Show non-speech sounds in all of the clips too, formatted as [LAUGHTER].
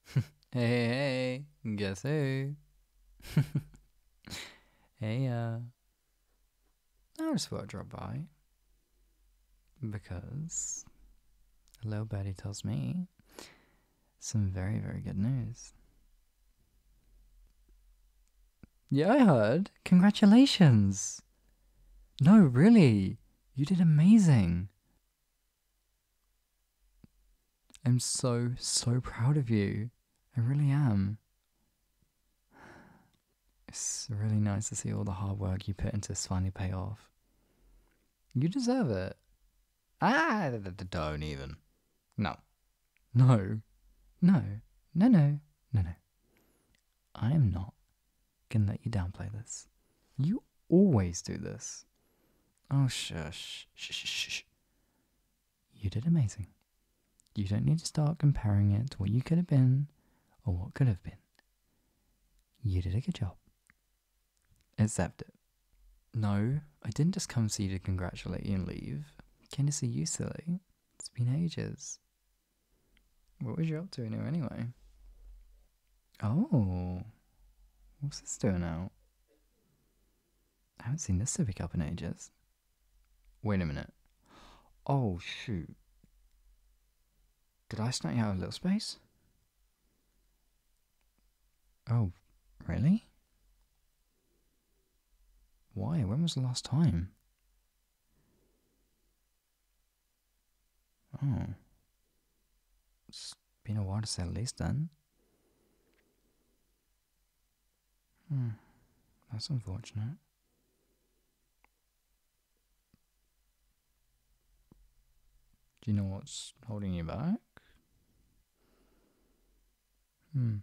[LAUGHS] hey, hey, guess who? [LAUGHS] hey, uh, I just thought to drop by because little buddy tells me some very, very good news. Yeah, I heard. Congratulations! No, really, you did amazing. I'm so, so proud of you. I really am. It's really nice to see all the hard work you put into this finally pay off. You deserve it. Ah, don't even. No. No. No. No, no. No, no. I am not going to let you downplay this. You always do this. Oh, shush. shush shush shh, You did amazing. You don't need to start comparing it to what you could have been or what could have been. You did a good job. Except it. No, I didn't just come see you to congratulate you and leave. Came to see you, silly. It's been ages. What was you up to now, anyway? Oh. What's this doing out? I haven't seen this civic up in ages. Wait a minute. Oh, shoot. Did I snake out a little space? Oh, really? Why? When was the last time? Oh it's been a while at least then. Hmm, that's unfortunate. Do you know what's holding you back? Hmm.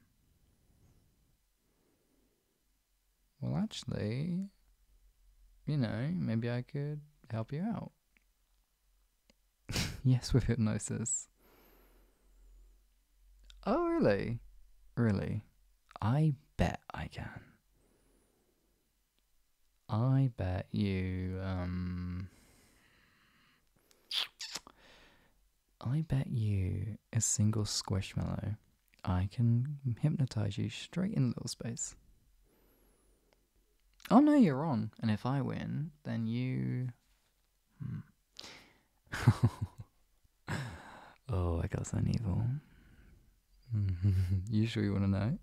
Well, actually, you know, maybe I could help you out. [LAUGHS] yes, with hypnosis. Oh, really? Really? I bet I can. I bet you, um. I bet you a single squishmallow. I can hypnotize you straight in little space. Oh no, you're on. And if I win, then you. Hmm. [LAUGHS] oh, I got something evil. [LAUGHS] you sure you want to know?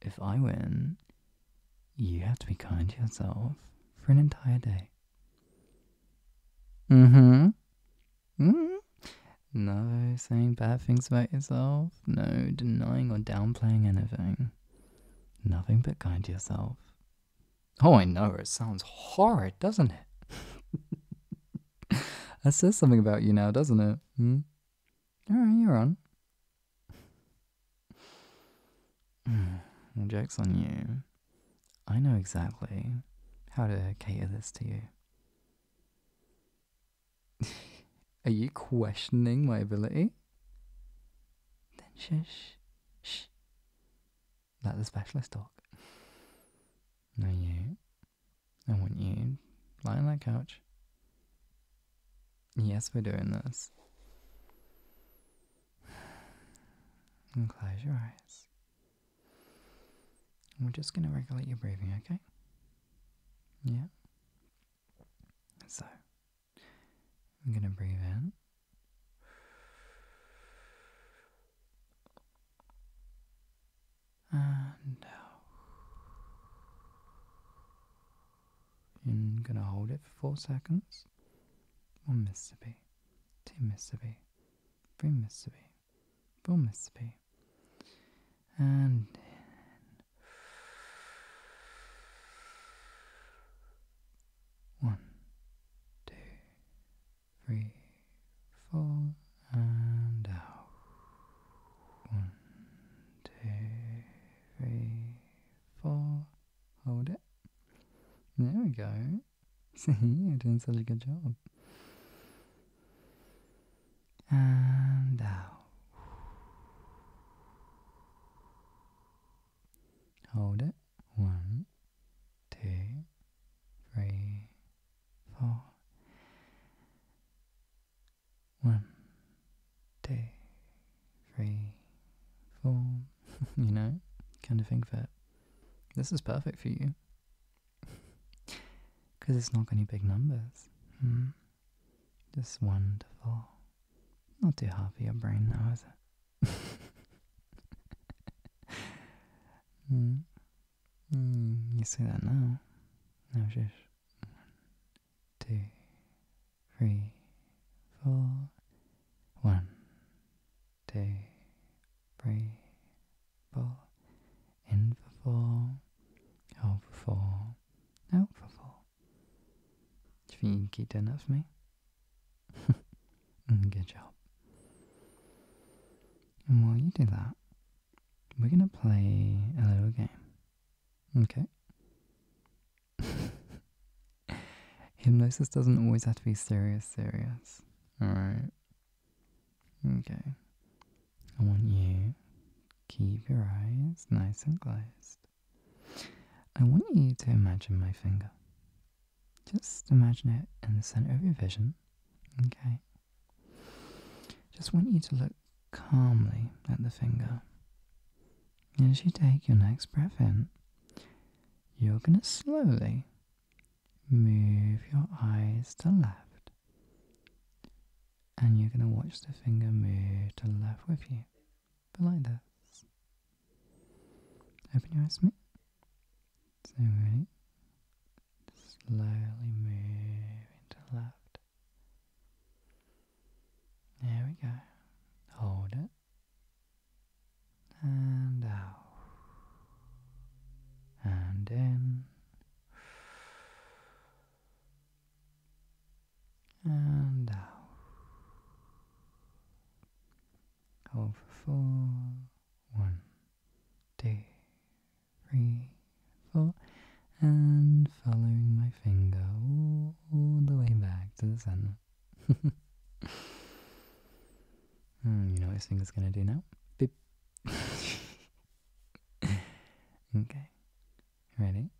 If I win, you have to be kind to yourself for an entire day. Mm hmm. Mm hmm. No saying bad things about yourself. No denying or downplaying anything. Nothing but kind to yourself. Oh, I know, it sounds horrid, doesn't it? [LAUGHS] that says something about you now, doesn't it? Hmm? Alright, you're on. joke's [SIGHS] on you. I know exactly how to cater this to you. [LAUGHS] Are you questioning my ability? Then shush, shh. Let the specialist talk. No, you, I want you, lie on that couch. Yes, we're doing this. And close your eyes. we're just going to regulate your breathing, okay? Yeah. So, I'm going to breathe in. And out. I'm going to hold it for four seconds. One Mississippi, two Mississippi, three Mississippi, four Mississippi and in. One, two, three, four, and out. One, two, three, four. Hold it. There we go. [LAUGHS] See, you're doing such a good job and out. Hold it. One, two, three, four. One, two, three, four. [LAUGHS] you know, kind of thing that this is perfect for you. Because [LAUGHS] it's not going to be big numbers. Hmm. Just wonderful. Not too hard for your brain now, is it? [LAUGHS] Hmm. Hmm, you see that now. Now just two, three, four, one, two, three, four in for four, out for four, out for four. Do you think you can keep that for me? [LAUGHS] Mm, good job. And while you do that, we're gonna play a little game. Okay. [LAUGHS] Hypnosis doesn't always have to be serious, serious. Alright. Okay. I want you to keep your eyes nice and closed. I want you to imagine my finger. Just imagine it in the center of your vision. Okay. Just want you to look calmly at the finger. As you take your next breath in, you're going to slowly move your eyes to the left and you're going to watch the finger move to the left with you, but like this. Open your eyes, me. So ready. Slowly moving to left. There we go. Hold it. And out. And in and out. Hold for four. One, And following my finger all, the way back to the center. [LAUGHS] Hmm, you know what this finger's gonna do now? [LAUGHS] okay. Ready?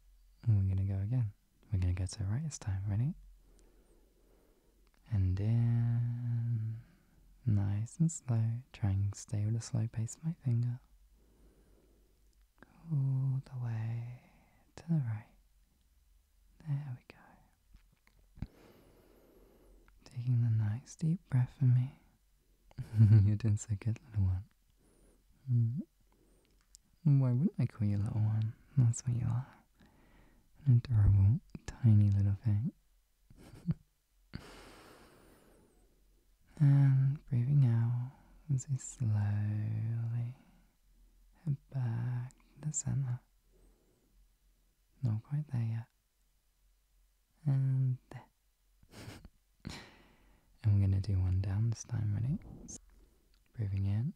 And we're gonna go again. We're gonna go to the right this time. Ready? And then, Nice and slow. Trying to stay with a slow pace my finger. All the way to the right. There we go. Taking the nice deep breath for me you [LAUGHS] didn't say good little one. Mm. Why wouldn't I call you little one? That's what you are. An adorable, tiny little thing. [LAUGHS] and breathing out as we slowly head back to center. Not quite there yet. And there. [LAUGHS] I'm gonna do one down this time, ready? Breathing in.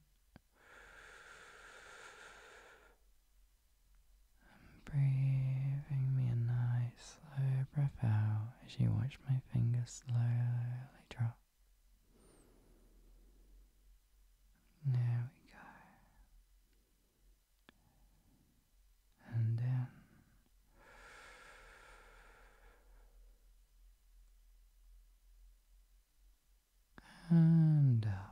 i breathing me a nice slow breath out as you watch my fingers slowly drop. There we go and in. And out,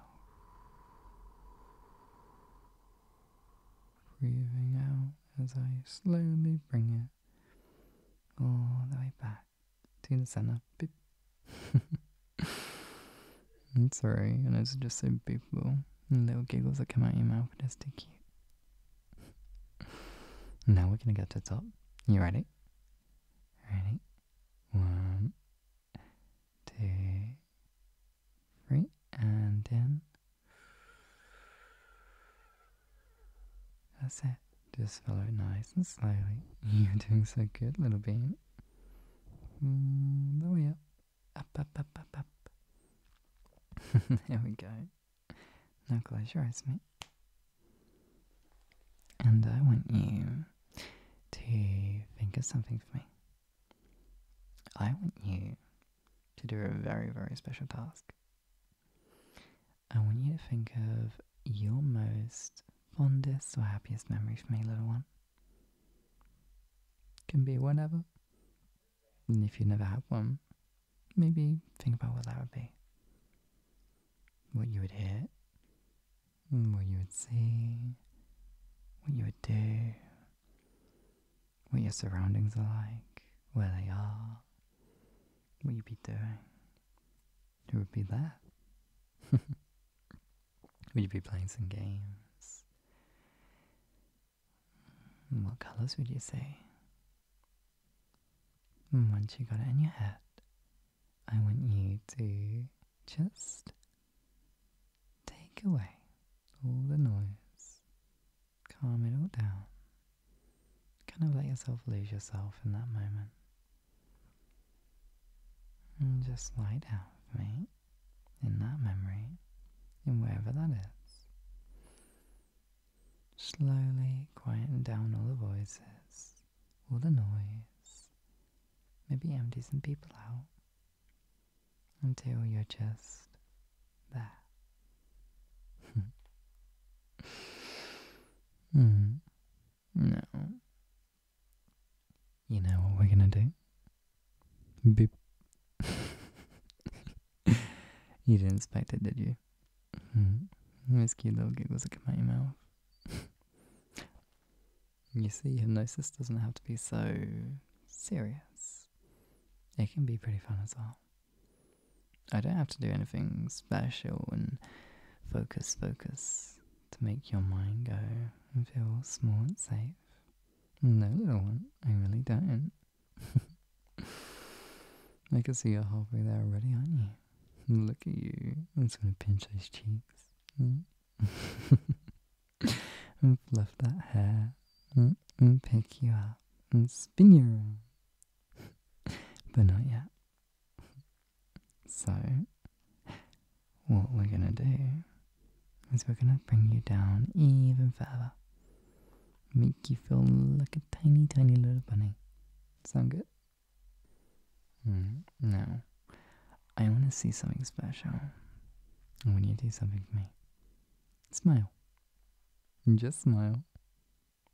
breathing out as I slowly bring it all the way back to the center. Beep. I'm [LAUGHS] sorry, I know it's just so beautiful. And little giggles that come out of your mouth are just too cute now we're gonna go to the top. You ready? Ready? One, two, three, and in. That's it. Just follow it nice and slowly. [LAUGHS] You're doing so good, little bean. Mm, the way Up, up, up, up, up. [LAUGHS] there we go. Now close your eyes, mate. And I want you to think of something for me. I want you to do a very, very special task. I want you to think of your most fondest or happiest memory for me, little one. Can be whatever. And if you never had one, maybe think about what that would be. What you would hear, what you would see, what you would do, what your surroundings are like, where they are, what you'd be doing. who would be there, [LAUGHS] would you be playing some games? Hmm, what colors would you say? Hmm, once you got it in your head, I want you to just take away all the noise, calm it all down, kind of let yourself lose yourself in that moment. And just lie down for me in that memory, in wherever that is. Slowly quieting down all the voices, all the noise. Maybe empty some people out until you're just there. [LAUGHS] Hmm. No. You know what we're gonna do? Beep. [LAUGHS] you didn't expect it, did you? Mm-hmm. Those cute little giggles that come out your mouth. you see, hypnosis doesn't have to be so serious. It can be pretty fun as well. I don't have to do anything special and focus, focus to make your mind go and feel small and safe. No, little one, I really don't. [LAUGHS] I can see you're halfway there already, aren't you? Look at you. I'm going to pinch those cheeks. Mm. and [LAUGHS] fluff that hair. And pick you up. And spin you around. [LAUGHS] but not yet. So, what we're going to do because we're going to bring you down even further. Make you feel like a tiny, tiny little bunny. Sound good? Mm, no. I want to see something special. I you do something for me. Smile. Just smile.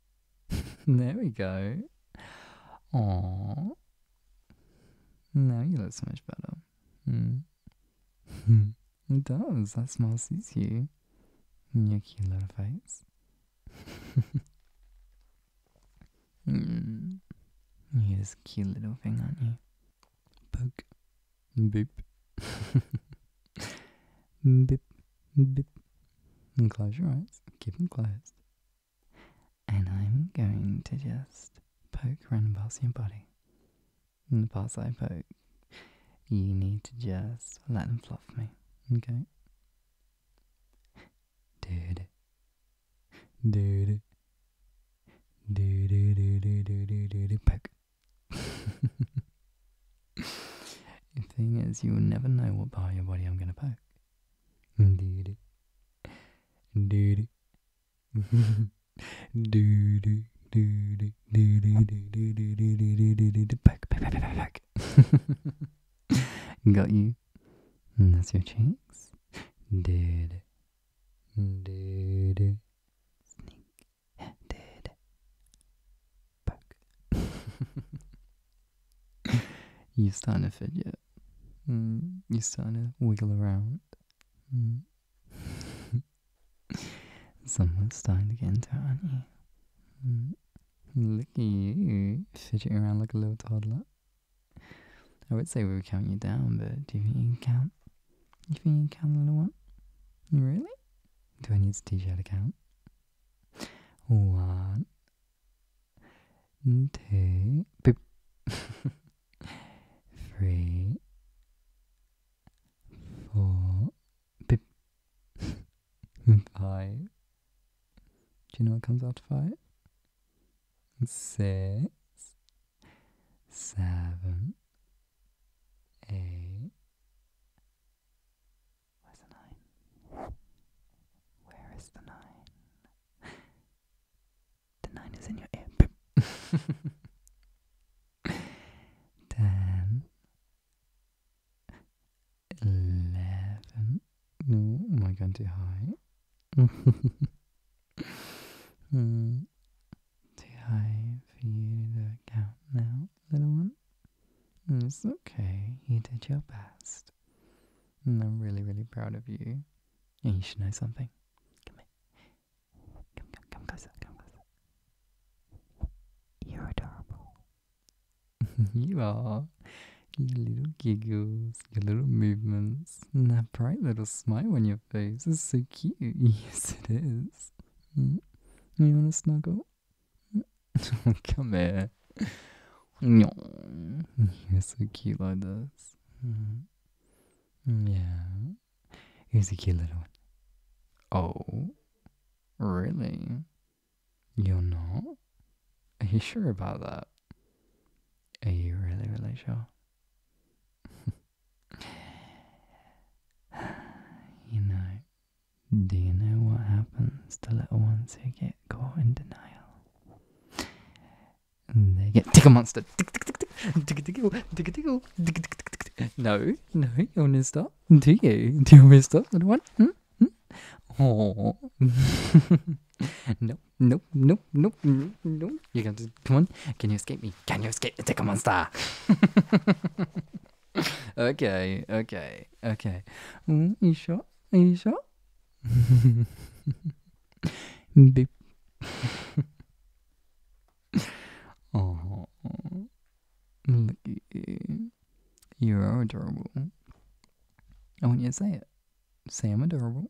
[LAUGHS] there we go. Aww. Now you look so much better. Mm. Hmm. it does. That smile sees you. Your cute little face. Hmm. You're this cute little thing, aren't you? Poke. beep, beep, Bip. And close your eyes. Keep them closed. And I'm going to just poke around and past your body in the parts I poke, you need to just let them fluff me, okay? Dude. Dude. Dude, dude, dude, dude, dude, poke. the thing is, you'll never know what part of your body I'm gonna poke. Dude. Dude do do do do do do do do do do do do back back back back back. Got you. And that's your cheeks. Did did sneak did back. you starting to fidget. Mm, you starting to wiggle around. Mm. [LAUGHS] Someone's starting to get into it, you? Hmm. Look at you, fidgeting around like a little toddler. I would say we were counting you down, but do you think you can count? You think you can count a little one? Really? Do I need to teach you how to count? One, two, [LAUGHS] three, four, five. [LAUGHS] Do you know what comes after five? Six, seven, eight. Where's the nine? Where is the nine? The nine is in your ear. [LAUGHS] [LAUGHS] ten, eleven. No, am I going too high? [LAUGHS] mm. Too high for you to count now, little one. Mm, it's okay. You did your best. And mm, I'm really, really proud of you. And you should know something. Come here. Come, come, come closer, come closer. You're adorable. [LAUGHS] you are. Your little giggles, your little movements, and that bright little smile on your face is so cute. [LAUGHS] Yes, it is. Mm. You want to snuggle? Mm. [LAUGHS] come here. No. You're so cute like this. Mm. Yeah. He's a cute little one. Oh, really? You're not? Are you sure about that? Are you really, really sure? you know, do you know what happens to little ones who get caught in denial? They get tickle monster. No, no, you want to stop? Do you? Do you want to stop, little one? Hmm? Oh. No, no, no, no, no. nope. You got to, come on. Can you escape me? Can you escape the ticker monster? [LAUGHS] okay, okay, okay. Mm, you sure? Are you sure? [LAUGHS] Beep. [LAUGHS] [LAUGHS] Oh, oh, look you. are adorable. I want you to say it. Say I'm adorable.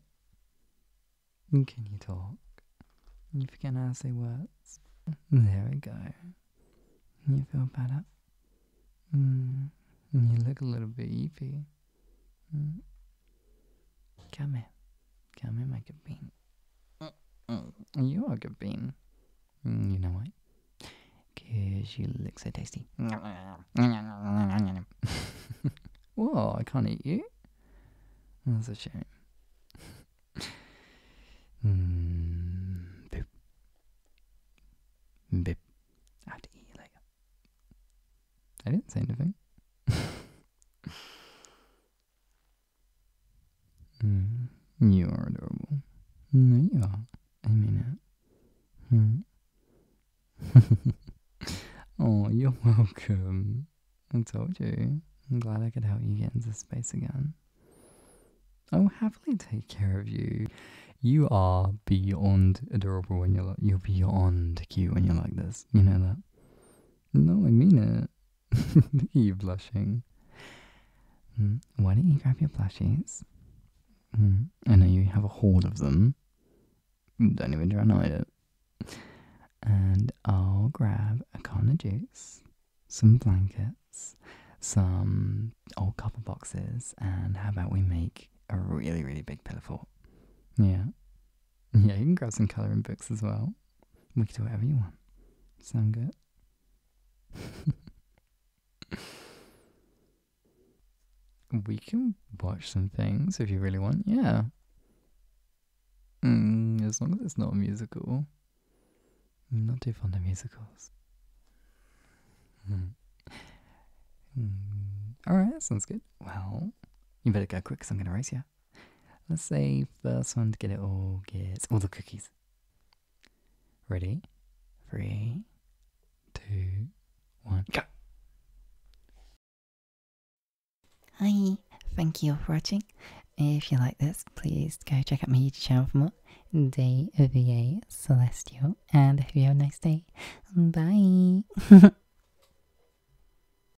Can you talk? You can't say words. There we go. You feel better? Mm. You look a little beefy. Mm. Come here. Come here, my good bean. You are a good bean. Mm, you know what? Because you look so tasty. [LAUGHS] Whoa, I can't eat you? That's a shame. [LAUGHS] Hmm, boop. Boop. I have to eat you later. I didn't say anything. [LAUGHS] you are adorable. No, you are. I mean it. oh, you're welcome. I told you. I'm glad I could help you get into space again. I will happily take care of you. You are beyond adorable when you're like, you're beyond cute when you're like this. You know that? No, I mean it. [LAUGHS] you blushing. Mm, why don't you grab your blushies? Mm, I know you have a hoard of them. Mm, don't even try and hide it. And I'll grab a can of juice, some blankets, some old copper boxes, and how about we make a really, really big pillow fort? Yeah. Mm-hmm. Yeah, you can grab some colouring books as well. We can do whatever you want. Sound good? [LAUGHS] we can watch some things if you really want, yeah. Mm, as long as it's not a musical. not too fond of musicals. Mm. Mm. Alright, sounds good. Well, you better go quick because I'm going to race you. Let's say first one to get it all gets all the cookies. Ready? Three, two, one, go! Hi, thank you for watching. If you like this, please go check out my YouTube channel for more. Day DVA Celestial, and have you have a nice day. Bye! [LAUGHS]